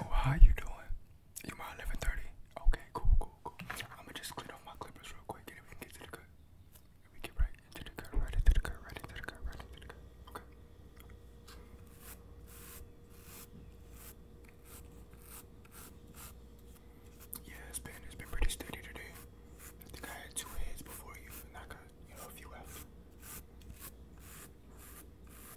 Oh, how you doing? You mind 11:30? Okay, cool, cool, cool. I'ma just clean off my clippers real quick, and if we can get to the good. if we get right into the cut, right into the cut, right into the cut, right into the cut. Okay. Yeah, it's been it's been pretty steady today. I think I had two heads before you, and I got you know a few after.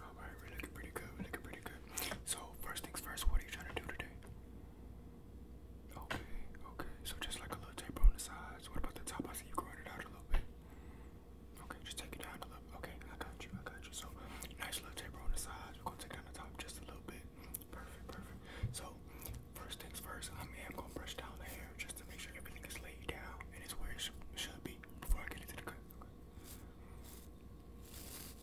Alright, we're looking pretty good. We're looking pretty good. So, first things first, what are you trying to do today? Okay, okay. So, just like a little taper on the sides. What about the top? I see you growing it out a little bit. Okay, just take it down a little Okay, I got you. I got you. So, nice little taper on the sides. We're going to take down the top just a little bit. Perfect, perfect. So, first things first, I am going to brush down the hair just to make sure everything is laid down and it's where it should be before I get into the cut.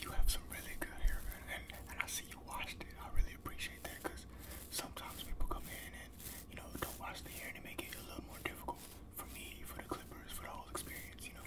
You have some really good hair, man, and, I see you washed it. I really appreciate that because sometimes people come in and you know don't wash the hair and make it a little more difficult for me, for the clippers, for the whole experience, you know.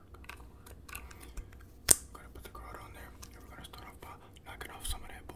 I'm gonna put the card on there, we're gonna start off by knocking off some of that book.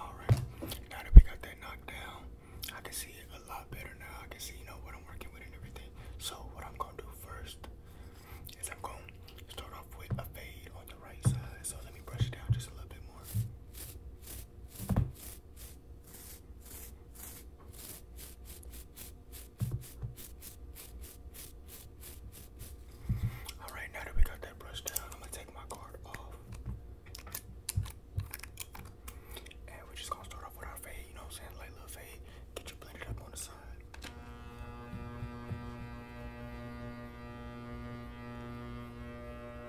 All right, now that we got that knocked down, I can see it a lot better now. I can see, you know, what I'm working with and everything. So what I'm gonna do first is I'm gonna start off with a fade on the right side. So let me brush it down just a little bit more. All right, now that we got that brush down, I'm gonna take my card off, and we're just gonna start off with our fade. You know what I'm saying? Light little fade. Get you blended up on the side.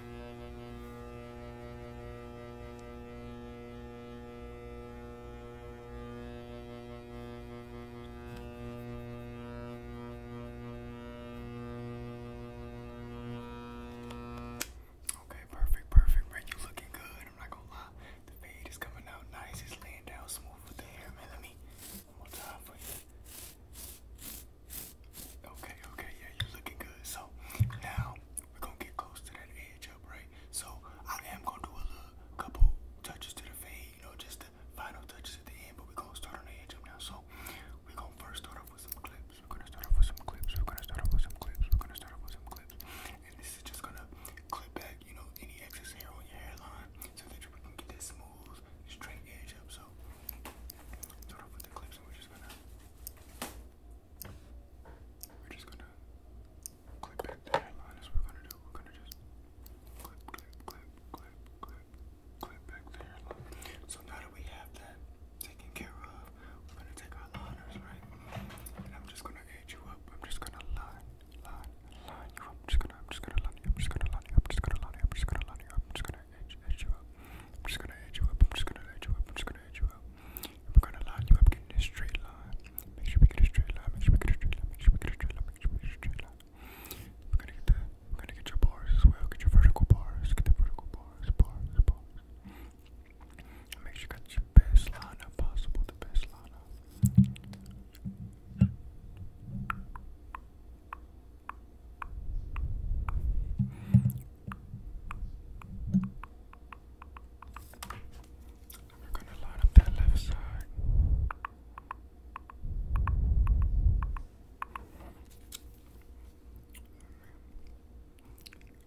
Okay, perfect, perfect, man. You looking good. I'm not gonna lie. The fade is coming out nice. It's laying down smooth with Let me one more time for you. Okay, okay, yeah, you're looking good. So now we're gonna get close to that edge right? So I am gonna do a little couple touches to the fade, you know, just the final touches at the end, but we're gonna start on the edge up now. So we're gonna first start off with some clips. We're gonna start off with some clips, we're gonna start off with some clips, we're gonna start off with some clips. And this is just gonna clip back, you know, any excess hair on your hairline so that you can get this smooth straight edge up. So start off with the clips, and we're just gonna we're just gonna clip back the That's what we're gonna do. We're gonna just clip, clip, clip, clip, clip, clip back the So now that we have that taken care of, we're gonna take our liners, right? And I'm just gonna edge you up. I'm just gonna line, line, line you up gonna, I'm just gonna line you up, I'm just gonna line you up, I'm just gonna line you up, I'm just gonna line you up, I'm just gonna edge, edge you up, I'm just gonna edge you up, I'm just gonna edge you up, I'm just gonna edge you up. We're gonna line you up, getting a straight line. Make sure we get a straight line, make sure we get a straight line, make sure we get a straight line, make sure we get a straight line. We're gonna get the, we're gonna get your bars as well, get your vertical bars, get the vertical bars, bars, bars. And make sure you got your best line up possible, the best line up. We're going to line up that left side.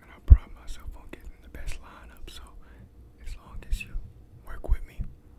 And I pride myself on getting the best lineup, so as long as you work with me,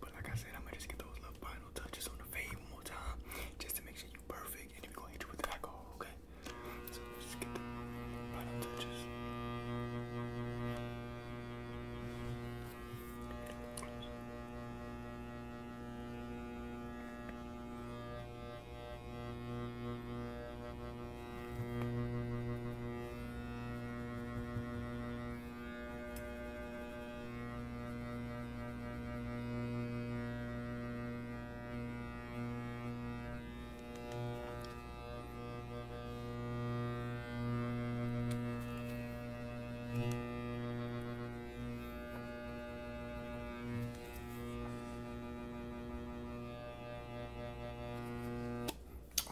but like I said, I'm gonna just get those little final touches on the fade one more time just to make sure you perfect. And then are gonna hit you with the alcohol, okay? So just get the final touches.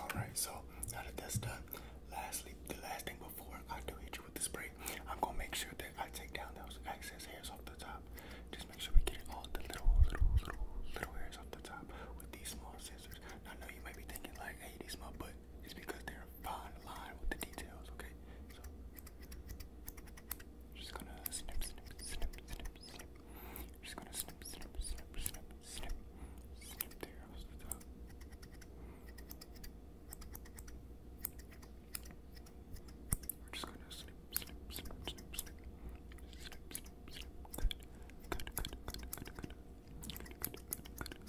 All right, so now that that's done, lastly, the last thing I do hit you with the spray, I'm gonna make sure that I take down those excess hairs off the top. Just make sure we get all the little, little, little, little hairs off the top with these small scissors. I know you might be thinking like, hey, these small, but It's because they're fine line with the details, okay? So, just gonna snip, snip, snip, snip, snip. Just gonna snip, snip, snip, snip snip, snip there off the top. We're just gonna snip, snip, snip, snip, snip, snip, snip, snip. Good, good, good, good, good,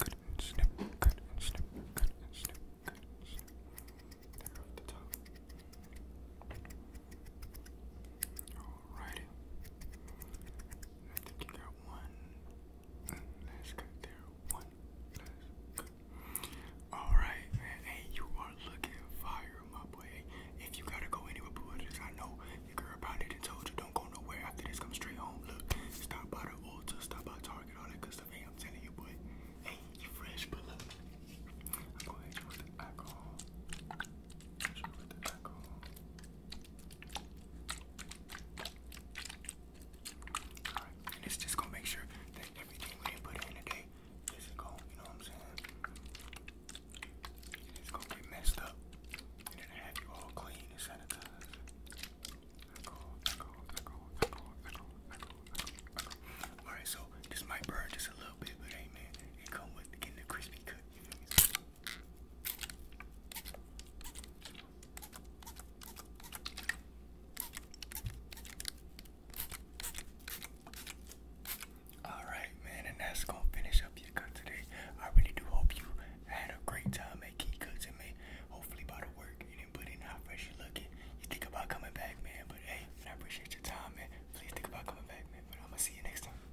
good. Good, good, good, good, good, and snip, good, and snip, good, and snip, good, and snip. There off the top. Alrighty. I think you got one, and let's go there. One. Let's go. Alright, man. Hey, you are looking fire, my boy. If you gotta go anywhere, boo, I know your girl probably didn't told you don't go nowhere after this. Come straight home. Look, stop by the Ulta, stop by Target, all that good stuff. Hey, I'm telling you, boy. Hey, you fresh, but look. I'm gonna hit you with the alcohol. Hit you with the alcohol and it's just gonna make sure that everything we put in today isn't gonna, you know what I'm saying? It's gonna get messed up. And then have you all clean and sanitized. Alright, so this might burn just a little bit, but hey man, it come with getting the crispy cut. Alright, man, and that's gonna finish up your cut today. I really do hope you had a great time at Key Cooks man. Hopefully, by the work you didn't put in how fresh you're looking, you think about coming back, man. But hey, I appreciate your time, man. Please think about coming back, man. But I'm gonna see you next time.